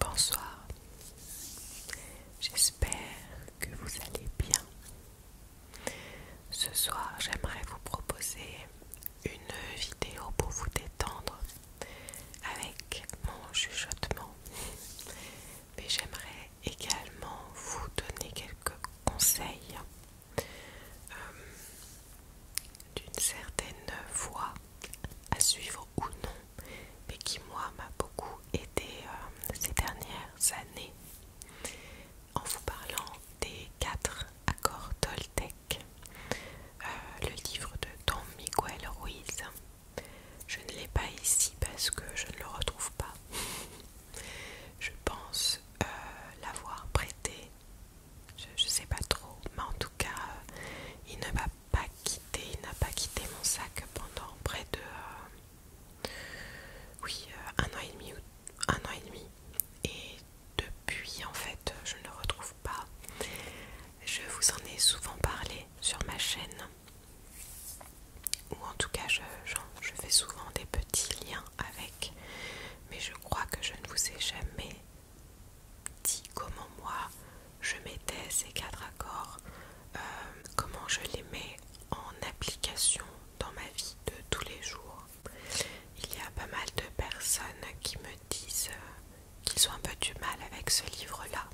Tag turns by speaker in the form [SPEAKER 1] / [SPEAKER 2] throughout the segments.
[SPEAKER 1] Bonsoir, j'espère que vous allez bien. Ce soir, j'aimerais vous proposer une vidéo pour vous détendre avec mon chuchotement, mais j'aimerais également vous donner quelques conseils euh, d'une certaine voie à suivre ou non, mais qui moi m'a beaucoup aidé euh, ces dernières années en vous parlant des quatre accords Toltec, euh, le livre de Don Miguel Ruiz. Je ne l'ai pas ici parce que je ne le retrouve pas. je pense euh, l'avoir prêté je, ne sais pas trop, mais en tout cas, euh, il ne m'a pas quitté, il n'a pas quitté mon sac pendant près de, euh, oui, euh, un an et demi un an et demi. Et depuis, en fait, je ne le retrouve pas. Je vous en ai souvent parlé sur ma chaîne, ou en tout cas, je fais souvent des petits liens avec, mais je crois que je ne vous ai jamais dit comment moi je mettais ces quatre accords, euh, comment je les mets en application dans ma vie de tous les jours. Il y a pas mal de personnes qui me disent euh, qu'ils ont un peu du mal avec ce livre-là,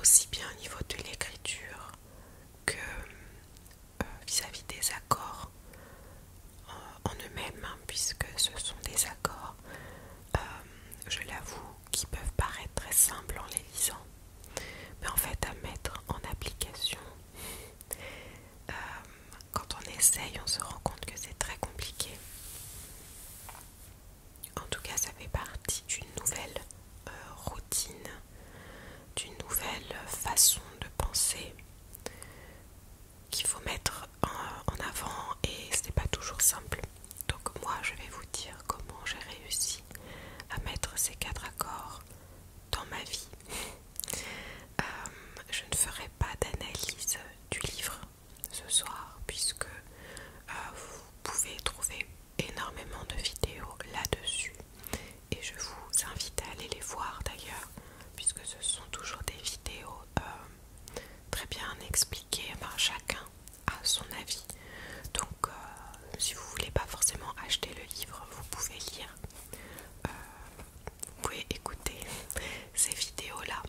[SPEAKER 1] aussi bien au niveau de l'écriture que vis à -vis des accords en eux-mêmes, hein, puisque ce sont des accords, euh, je l'avoue, qui peuvent paraître très simples en les lisant, mais en fait à mettre en application, euh, quand on essaye, on se rend compte que c'est très compliqué. En tout cas, ça fait partie d'une nouvelle euh, routine, d'une nouvelle façon de penser qu'il faut mettre en, avant et ce n'est pas toujours simple. Donc moi je vais vous dire comment j'ai réussi à mettre ces quatre accords dans ma vie. Euh, je ne ferai pas d'analyse du livre ce soir puisque euh, vous pouvez trouver énormément de vidéos là-dessus et je vous invite à aller les voir d'ailleurs puisque ce sont toujours des vidéos euh, très bien expliqué, par chacun à son avis. Donc euh, si vous voulez pas forcément acheter le livre, vous pouvez lire, euh, vous pouvez écouter ces vidéos-là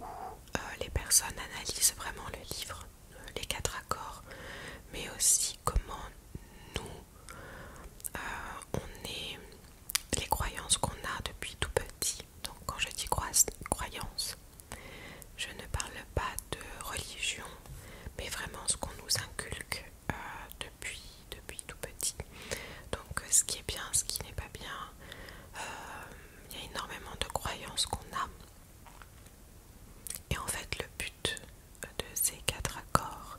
[SPEAKER 1] où euh, les personnes analysent vraiment le livre, les quatre accords, mais aussi comment nous on est les croyances qu'on a depuis tout petit. Donc quand je dis croyances, je ne parle pas de religion, mais vraiment ce qu'on nous inculque euh, depuis, depuis tout petit. Donc ce qui est bien, ce qui n'est pas bien, euh, il y a énormément de croyances qu'on a. Et en fait le but euh, de ces quatre accords,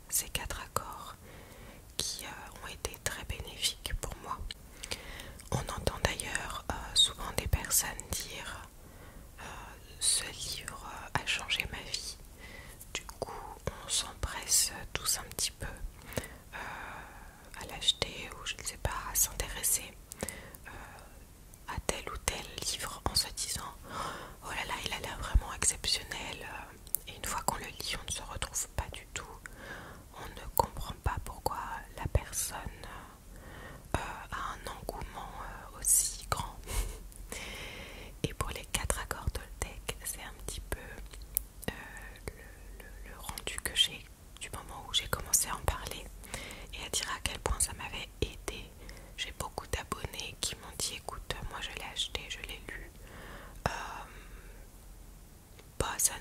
[SPEAKER 1] ces quatre accords qui euh, ont été très bénéfiques pour moi. On entend d'ailleurs euh, souvent des personnes dire euh, ce livre a changé ma vie. Du coup, on s'empresse tous un petit peu à l'acheter ou je ne sais pas, à s'intéresser à tel ou tel livre en se disant oh là là, il a l'air vraiment exceptionnel, et une fois qu'on le lit, on ne se retrouve pas du tout. On ne comprend pas pourquoi la personne euh, a un engouement euh, aussi grand. et pour les quatre accords d'Oltec, c'est un petit peu euh, le rendu que j'ai du moment où j'ai commencé à en parler et à dire à quel point ça m'avait aidé. J'ai beaucoup d'abonnés qui m'ont dit écoute, moi je l'ai acheté, je l'ai lu euh, bah, ça,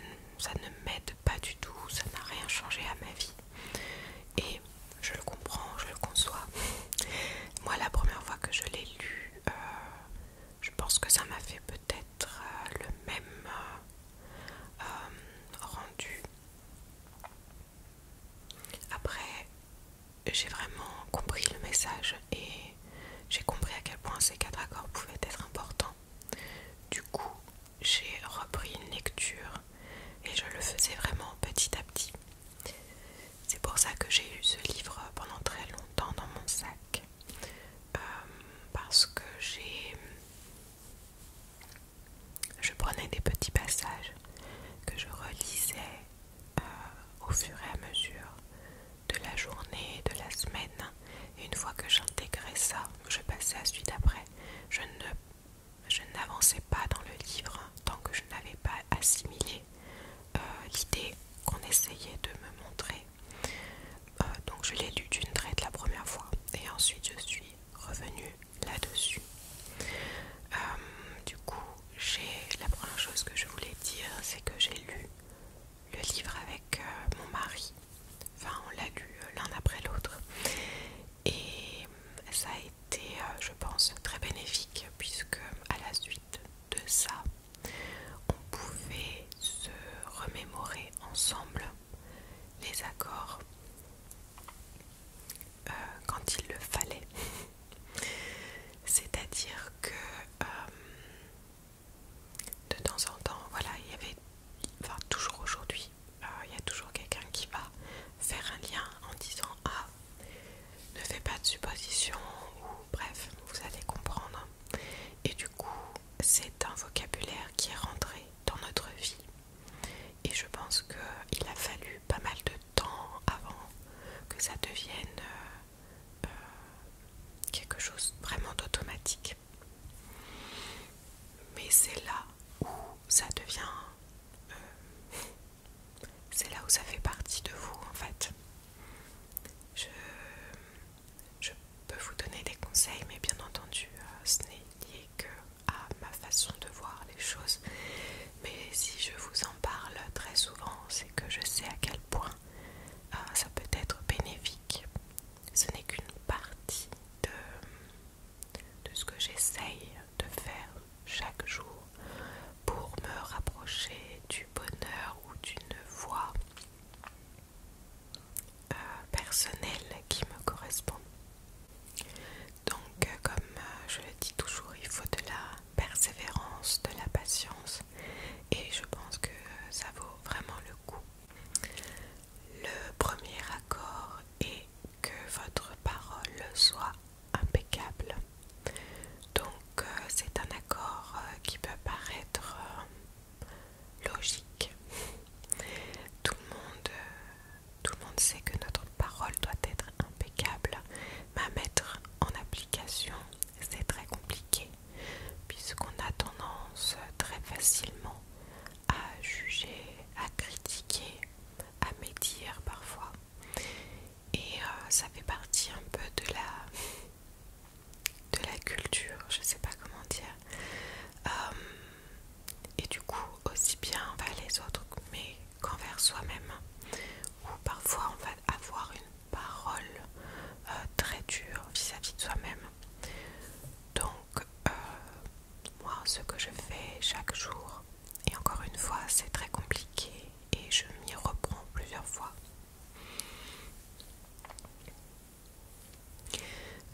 [SPEAKER 1] ne m'aide pas du tout, ça n'a rien changé à ma vie. Et je le comprends, je le conçois. Moi, la première fois que je l'ai lu, euh, je pense que ça m'a fait peut-être euh, le même rendu. Après, j'ai vraiment compris le message et j'ai compris à quel point ces quatre accords pouvaient être importants. Du coup, j'ai repris une lecture et je le faisais vraiment petit à petit. C'est pour ça que j'ai eu ce livre pendant très longtemps dans mon sac. Euh, parce que j'ai... Je prenais des petits passages que je relisais euh, au fur et à mesure de la journée, de la semaine. une fois que j'intégrais ça, je passais à suite après. Je n'avançais pas dans le livre tant que je n'avais pas assimilé euh, l'idée qu'on essayait de me montrer. Euh, donc je l'ai lu d'une traite la première fois et ensuite je suis revenue là-dessus. du coup, la première chose que je voulais dire, c'est que j'ai lu le livre avec euh, mon mari. Enfin, on l'a lu euh, l'un après l'autre. Et euh, ça a été, je pense, très bénéfique, puisque à la suite de ça, on pouvait se remémorer ensemble les accords quand il le fallait. C'est-à-dire que euh, de temps en temps, voilà, il y avait, enfin toujours aujourd'hui, euh, il y a toujours quelqu'un qui va faire un lien en disant ah, ne fais pas de supposition ou bref, vous allez comprendre. Et du coup, c'est un vocabulaire qui est rentré dans notre vie. Et je pense qu'il a fallu pas mal de temps avant que ça devienne euh, euh, quelque chose vraiment d'automatique. Mais c'est là où ça devient... Euh, c'est là où ça fait partie de vous en fait. Je, peux vous donner des conseils, mais bien entendu, euh, ce n'est lié que à ma façon de voir les choses mais si je vous en parle très souvent, c'est que je sais à quel point euh, ça peut être bénéfique. Ce n'est qu'une partie de, ce que j'essaye de faire chaque jour pour me rapprocher du bonheur ou d'une voie euh, personnelle qui me correspond. Donc, euh, comme je le dis toujours, il faut de la persévérance, de la patience et je pense que ça vaut vraiment le coup. Le premier accord est que votre parole soit impeccable. Donc euh, c'est un accord euh, qui peut paraître euh, logique. Tout le monde, tout le monde sait que notre parole doit être impeccable, mais à mettre en application, c'est très compliqué, puisqu'on a tendance très facilement à juger, à critiquer, à médire parfois. Et euh, ça fait partie un peu de la de la culture, je sais pas comment dire. Euh, et du coup, aussi bien les autres, mais qu'envers soi-même. Ou parfois on va avoir une parole euh, très dure vis-à-vis de soi-même. Donc euh, moi ce que je fais chaque jour, et encore une fois c'est très compliqué et je m'y reprends plusieurs fois.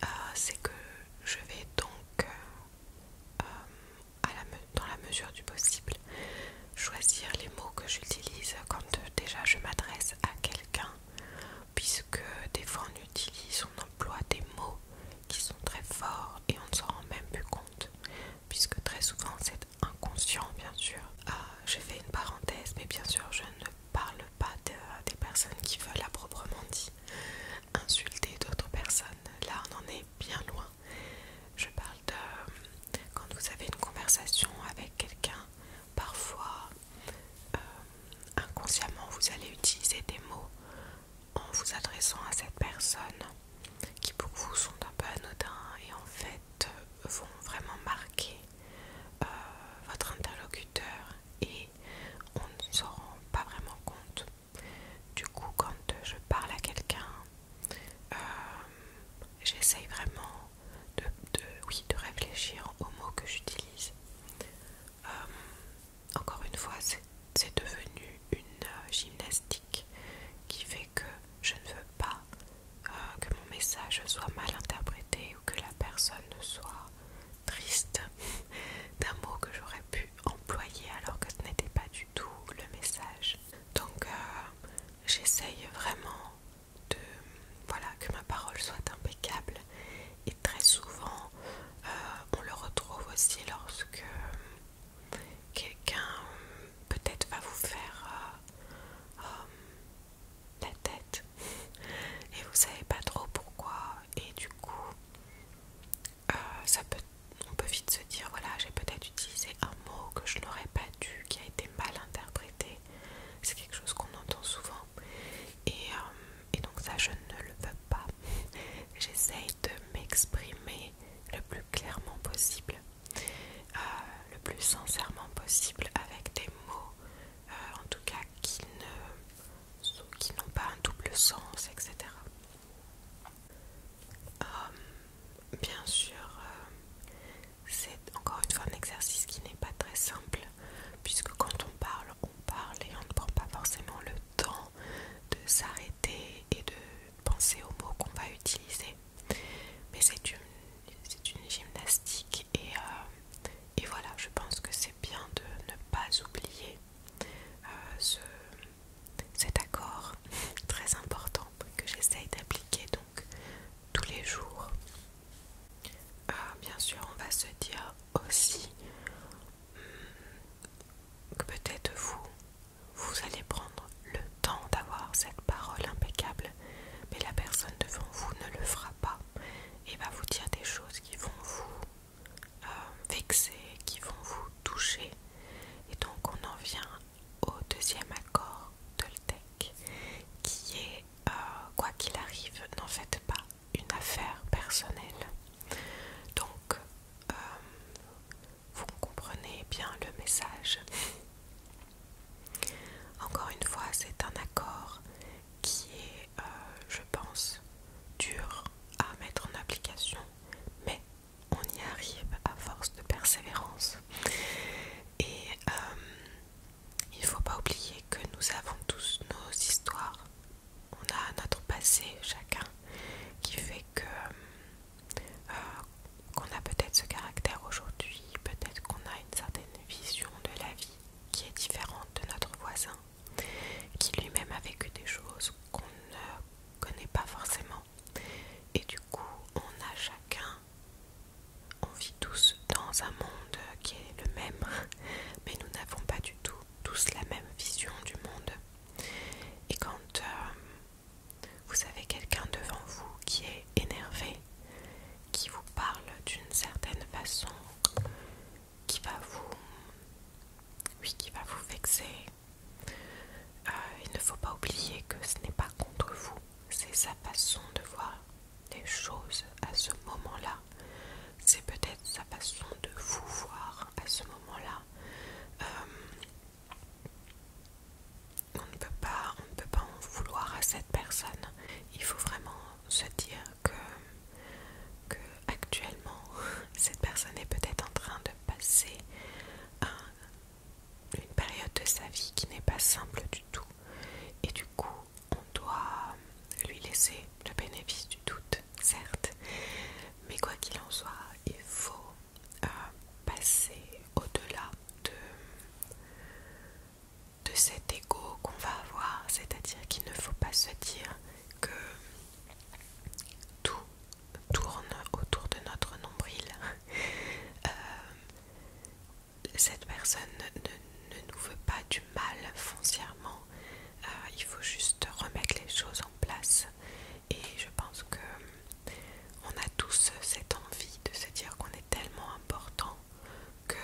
[SPEAKER 1] Euh, c'est que je vais donc dans la mesure du possible, choisir les mots que j'utilise quand euh, déjà je m'adresse à quelqu'un, puisque des fois on utilise, on emploie des mots qui sont très forts et on ne s'en rend même plus compte, puisque très souvent c'est inconscient bien sûr. Ah, j'ai fait une parenthèse, mais bien sûr je ne parle pas des personnes qui veulent à proprement dit insulter d'autres personnes. Là on en est bien loin. Je parle de euh, quand vous avez une conversation avec quelqu'un, parfois euh, inconsciemment vous allez utiliser des mots en vous adressant à cette personne qui pour vous sont un peu anodins et en fait vont vraiment marquer euh, votre interlocuteur et on ne s'en rend pas vraiment compte. Du coup, quand je parle à quelqu'un, euh, j'essaye vraiment de, oui, de réfléchir aux mots que j'utilise. Euh, encore une fois, c'est devenu une euh, gymnastique qui fait que je ne veux pas que mon message soit mal interprété ou que la personne soit triste d'un mot que j'aurais pu employé alors que ce n'était pas du tout le message. Donc euh, j'essaye vraiment de voilà que ma parole soit impeccable et très souvent euh, on le retrouve aussi lorsque quelqu'un peut-être va vous faire euh, la tête et vous savez pas trop pourquoi et du coup euh, on peut vite se dire voilà, j'ai peut-être utilisé un mot que je n'aurais pas dû, qui a été mal interprété. C'est quelque chose qu'on entend souvent. Et, euh, donc, ça, je ne le veux pas. J'essaye de m'exprimer le plus clairement possible, euh, le plus sincèrement possible, avec des mots, en tout cas, qui n'ont pas un double sens, etc. Euh, bien sûr, euh, c'est encore une fois un exercice qui n'est pas très simple, puisque quand on parle, on parle et on ne prend pas forcément le temps de s'arrêter et de penser aux mots qu'on va utiliser. Mais c'est une, gymnastique euh, et, voilà, je pense que c'est bien de ne pas oublier ce, cet accord très important que j'essaye d'appliquer donc tous les jours. Euh, bien sûr, on va se dire aussi hmm, que peut-être vous, vous allez prendre le temps d'avoir cette parole impeccable, mais la personne devant vous ne le fera pas et va vous dire des choses qui vont vous euh, vexés, qui vont vous toucher. Et donc on en vient au deuxième accord de tech qui est euh, quoi qu'il arrive, n'en faites pas une affaire personnelle. Donc euh, vous comprenez bien le message. Encore une fois, c'est un accord qui est, je pense, dur à mettre en application, mais on y arrive à force de persévérance. Et euh, il ne faut pas oublier que nous avons tous nos histoires. On a notre passé chacun qui fait que euh, qu'on a peut-être ce caractère aujourd'hui, peut-être qu'on a une certaine vision de la vie qui est différente de notre voisin, qui lui-même a vécu des choses qu'on ne connaît pas forcément. Et du coup, on a chacun, on vit tous dans un monde qui est le même, mais nous n'avons pas du tout tous la même vision du monde. Et quand euh, vous avez quelqu'un devant vous qui est énervé, qui vous parle d'une certaine façon, qui va vous, oui, qui va vous vexer, euh, il ne faut pas oublier que ce n'est pas contre vous, c'est sa façon de voir les choses à ce moment-là. C'est peut-être sa façon de vous voir à ce moment-là. Euh, on ne peut pas, on ne peut pas en vouloir à cette personne. Il faut vraiment se dire que que cette personne est peut-être en train de passer une période de sa vie qui n'est pas simple du tout et du coup on doit lui laisser le bénéfice du doute certes mais quoi qu'il en soit il faut euh, passer au-delà de, de cet ego qu'on va avoir c'est à dire qu'il ne faut pas se dire que tout tourne autour de notre nombril. Euh, cette personne ne, nous veut pas du mal foncièrement. Euh, il faut juste remettre les choses en place. Et je pense que on a tous cette envie de se dire qu'on est tellement important que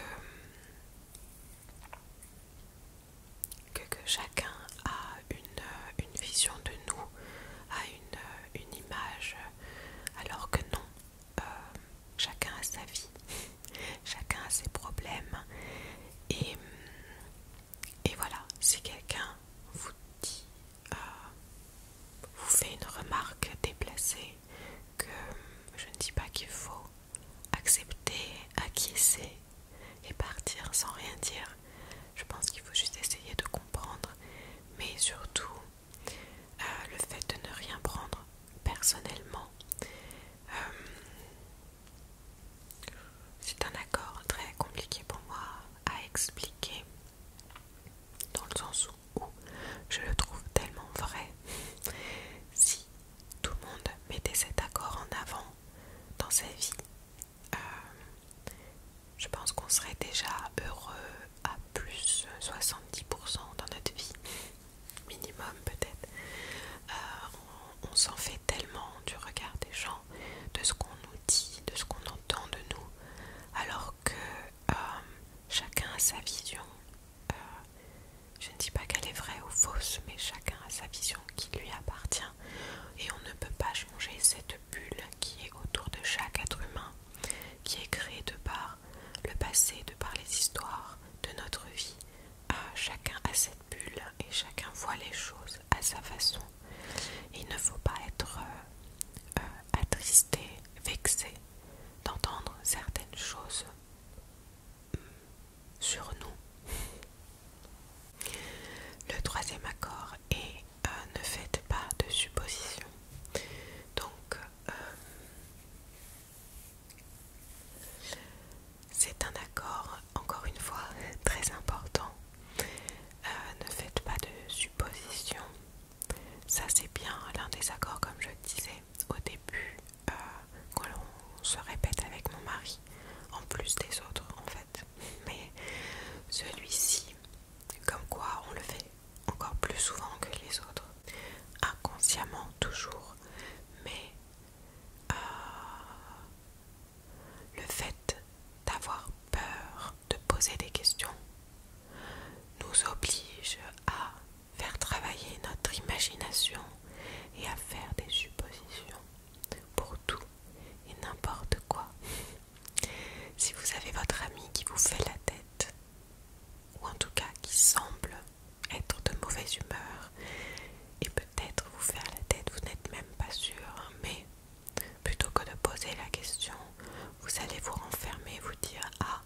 [SPEAKER 1] que, chacun a une, vision de nous, a une, image, alors que non, euh, chacun a sa vie, chacun a ses problèmes. Et, et voilà, si quelqu'un vous dit, euh, vous fait une remarque déplacée, que je ne dis pas qu'il faut accepter, acquiescer, et partir sans rien dire. Je pense qu'il faut juste essayer de comprendre, mais surtout euh, le fait de ne rien prendre personnellement. Euh, c'est un accord très compliqué pour moi à expliquer, dans le sens où je le trouve tellement vrai. Si tout le monde mettait cet accord en avant dans sa vie. Euh, je pense qu'on serait déjà heureux à plus de 70% dans notre vie, minimum peut-être. Euh, on, s'en fait tellement du regard des gens, de ce qu'on nous dit, de ce qu'on entend de nous, alors que euh, chacun a sa vision. je ne dis pas qu'elle est vraie ou fausse, mais chacun a sa vision qui lui appartient et on ne peut pas changer cette bulle qui est autour de chaque être humain, qui est créée de par le passé, de par les histoires de notre vie. Ah, chacun a cette bulle et chacun voit les choses à sa façon. Il ne faut pas être euh, euh, attristé, vexé d'entendre certaines choses sur nous. Le troisième accord est euh, ne faites pas de suppositions. Donc, euh, c'est un accord, encore une fois, très important. Euh, ne faites pas de suppositions. Ça, c'est bien l'un des accords, comme je le disais au début, euh, que l'on se répète avec mon mari, en plus des autres en fait. Mais celui-ci, comme quoi on le fait encore plus souvent que les autres, inconsciemment toujours, mais euh, le fait d'avoir peur de poser des questions nous oblige à faire travailler notre imagination et à faire des suppositions pour tout et n'importe quoi. si vous avez votre amie qui vous fait la tête, ou en tout cas qui semble être de mauvaise humeur, et peut-être vous faire la tête, vous n'êtes même pas sûr, hein, mais plutôt que de poser la question, vous allez vous renfermer et vous dire Ah,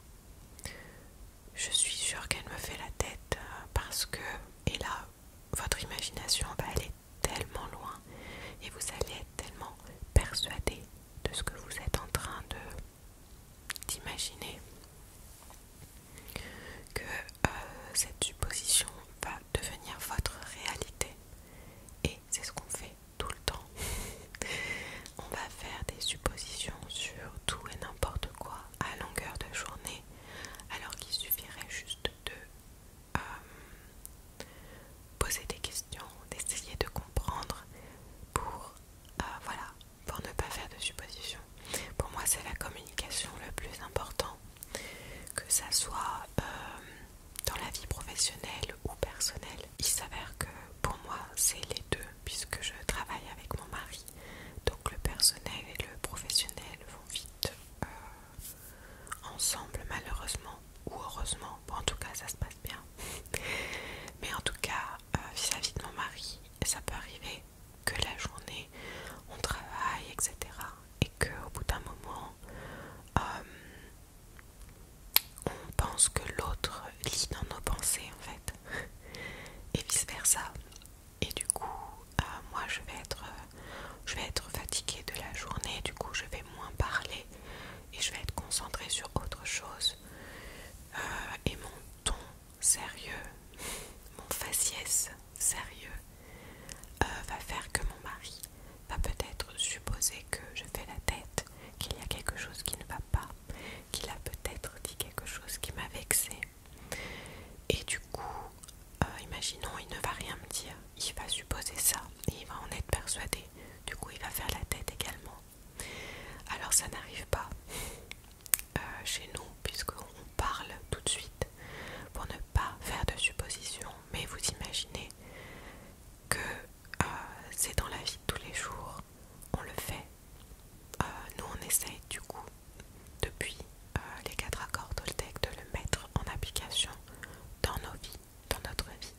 [SPEAKER 1] je suis sûr qu'elle me fait la tête euh, parce que, et là, votre imagination va aller tellement loin et vous allez être tellement persuadé de ce que vous êtes en train de d'imaginer que euh, cette supposition va devenir votre réalité et c'est ce qu'on fait tout le temps on va faire des suppositions sur tout et n'importe quoi à longueur de journée, alors qu'il suffirait juste de euh, poser des questions, d'essayer de comprendre pour, euh, voilà, pour ne pas faire de suppositions. Pour moi, c'est la communication le plus important, que ça soit euh, dans la vie professionnelle ou personnelle. Il s'avère que pour moi, c'est les deux, puisque je travaille avec mon mari donc le personnel et le professionnel vont vite euh, ensemble malheureusement ou heureusement. en tout cas ça se passe bien. Mais en tout cas euh, vis-à-vis de mon mari, ça peut arriver que la journée on travaille, etc. Et qu'au bout d'un moment... Euh, on pense que l'autre lit dans nos pensées en fait, et vice versa et du coup euh, moi euh, je vais être fatiguée de la journée du coup je vais moins parler et je vais être concentrée sur autre chose euh, et mon ton sérieux mon faciès sérieux va faire que mon mari va peut-être supposer que je fais la tête qu'il y a quelque chose qui ne va pas qu'il a peut-être dit quelque chose qui m'a vexée et du coup, euh, imaginons, il ne va rien me dire, il va supposer ça il va en être persuadé. Du coup, il va faire la tête également. Alors, ça n'arrive pas euh, chez nous, puisqu'on parle tout de suite pour ne pas faire de suppositions. Mais vous imaginez que euh, c'est dans la vie de tous les jours, on le fait euh, nous, on essaye du coup, depuis euh, les quatre accords Toltec, de le mettre en application dans nos vies, dans notre vie.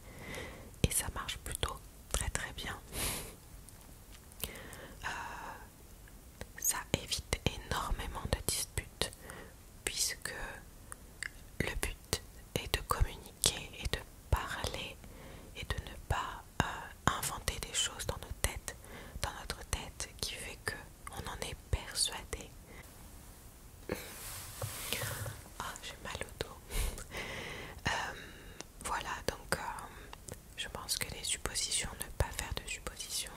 [SPEAKER 1] Et ça marche plutôt très très bien. Euh, ça évite énormément de disputes puisque le but est de communiquer et de parler et de ne pas euh, inventer des choses dans nos têtes, dans notre tête, qui fait que on en est persuadé. Ah, j'ai mal au dos. Euh, voilà, donc euh, je pense que les suppositions, ne pas faire de suppositions,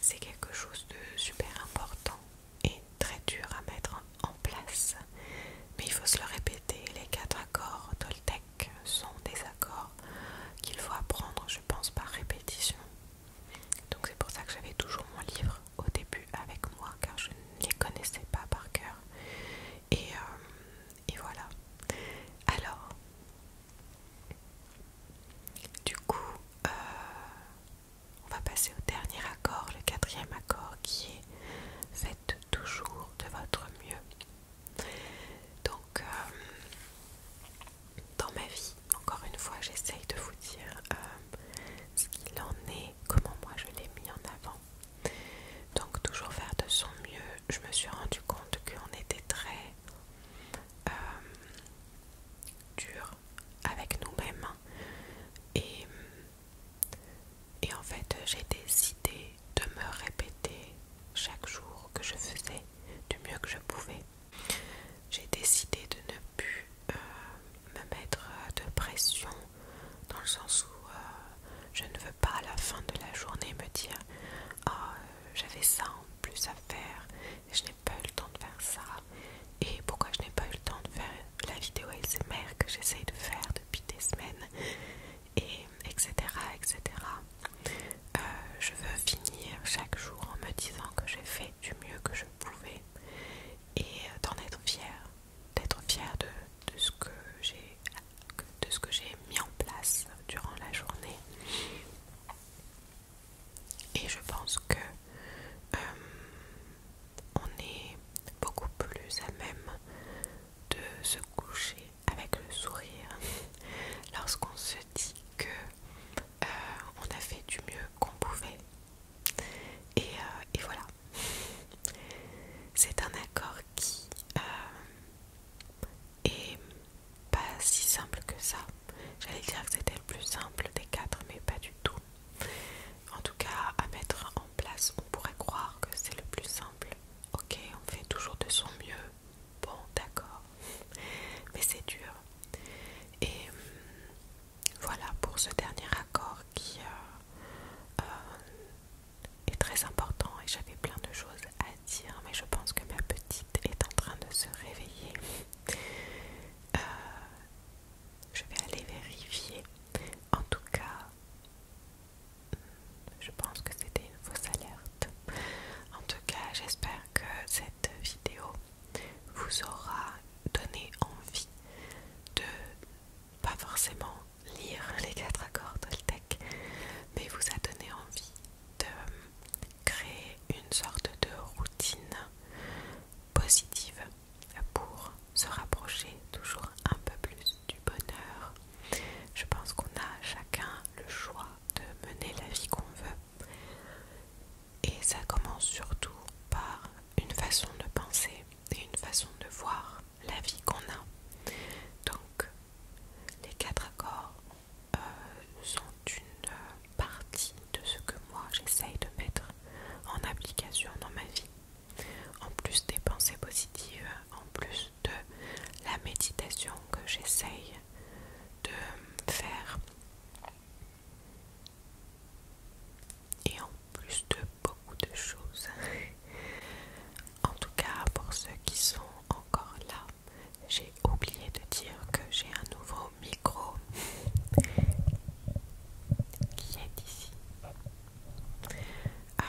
[SPEAKER 1] c'est quelque chose de super important et très dur à mettre en place. Mais il faut se le répéter, les quatre accords Toltec sont des accords qu'il faut apprendre, je pense, par répétition. Donc c'est pour ça que j'avais toujours mon livre au début avec moi, car je ne les connaissais pas par cœur. Et, euh, voilà. Alors, du coup, euh, on va passer au dernier accord, le quatrième accord qui est faites toujours de votre mieux. Donc, euh, dans ma vie, encore une fois, j'essaye de vous dire euh, ce qu'il en est, comment moi je l'ai mis en avant. Donc, toujours faire de son mieux. Je me suis rendu compte qu'on était très euh, dur avec nous-mêmes et, et en fait j'ai décidé de me répéter chaque jour que je faisais du mieux que je pouvais. J'ai décidé de ne plus euh, me mettre de pression dans le sens où euh, je ne veux pas à la fin de la journée me dire ah, j'avais ça en plus à faire et je n'ai pas eu le temps de faire ça et pourquoi je n'ai pas eu le temps de faire la vidéo ASMR que j'essaye de faire depuis des semaines et etc etc euh, je veux finir chaque jour en me disant que j'ai fait du mieux que je pouvais et euh, d'en être fière d'être fière de, ce que j'ai de ce que j'ai mis en place durant la journée et je pense que euh, on est beaucoup plus à même de se coucher avec le sourire lorsqu'on se dit que euh, on a fait du mieux qu'on pouvait. Et, euh, voilà. C'est un accord qui euh, est pas si simple que ça. J'allais dire que c'était le plus simple des quatre, mais pas du tout. En tout cas, à mettre en place, on pourrait croire que c'est le plus simple, Ok, on fait toujours de son mieux. Bon, d'accord. Mais c'est dur. Et hum, voilà pour ce dernier accord qui euh, euh, est très important. Et j'avais plein de choses à dire, mais je pense que ma petite est en train de se réveiller. Euh, je vais aller vérifier. En tout cas, je pense que c'était une fausse alerte. En tout cas, j'espère que cette vidéo vous aura donné envie de pas forcément lire les quatre accords l'tech, mais vous a donné envie de créer une sorte de routine positive pour se rapprocher toujours un peu plus du bonheur je pense qu'on a chacun le choix de mener la vie qu'on veut. Et ça commence surtout par une façon de penser et une façon de voir la vie qu'on a. Donc, les quatre accords euh, sont une partie de ce que moi j'essaye de mettre en application dans ma vie. En plus des pensées positives, en plus de la méditation que j'essaye de faire. Et en plus de beaucoup de choses. en tout cas, pour ceux qui sont encore là, j'ai oublié de dire que j'ai un nouveau micro qui est ici. Euh,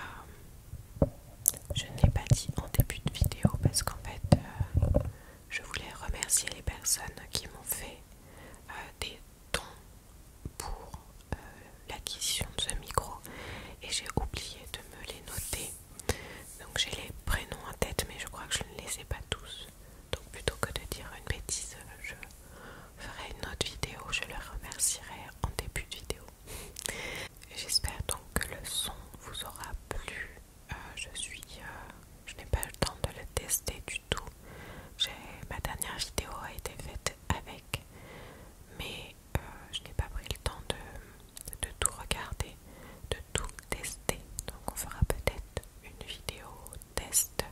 [SPEAKER 1] je n'ai pas dit en début de vidéo parce qu'en fait, euh, je voulais remercier les personnes qui m'ont fait euh, des dons pour euh, l'acquisition de ce micro et j'ai oublié de me les noter. Donc j'ai les prénoms en tête mais je crois que je ne les ai pas tous. Donc plutôt que de dire une bêtise, je ferai une autre vidéo, je leur remercierai en début de vidéo. J'espère donc que le son vous aura plu. Euh, je suis, euh, je n'ai pas le temps de le tester du tout. Ma dernière vidéo a été faite avec, mais euh, je n'ai pas pris le temps de, tout regarder, de tout tester. Donc on fera peut-être une vidéo test,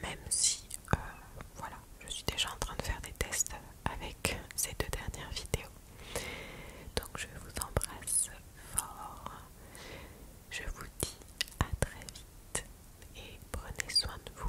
[SPEAKER 1] même si, voilà, je suis déjà en train de faire des tests avec ces deux dernières vidéos. Donc je vous embrasse fort. Je vous dis à très vite et prenez soin de vous.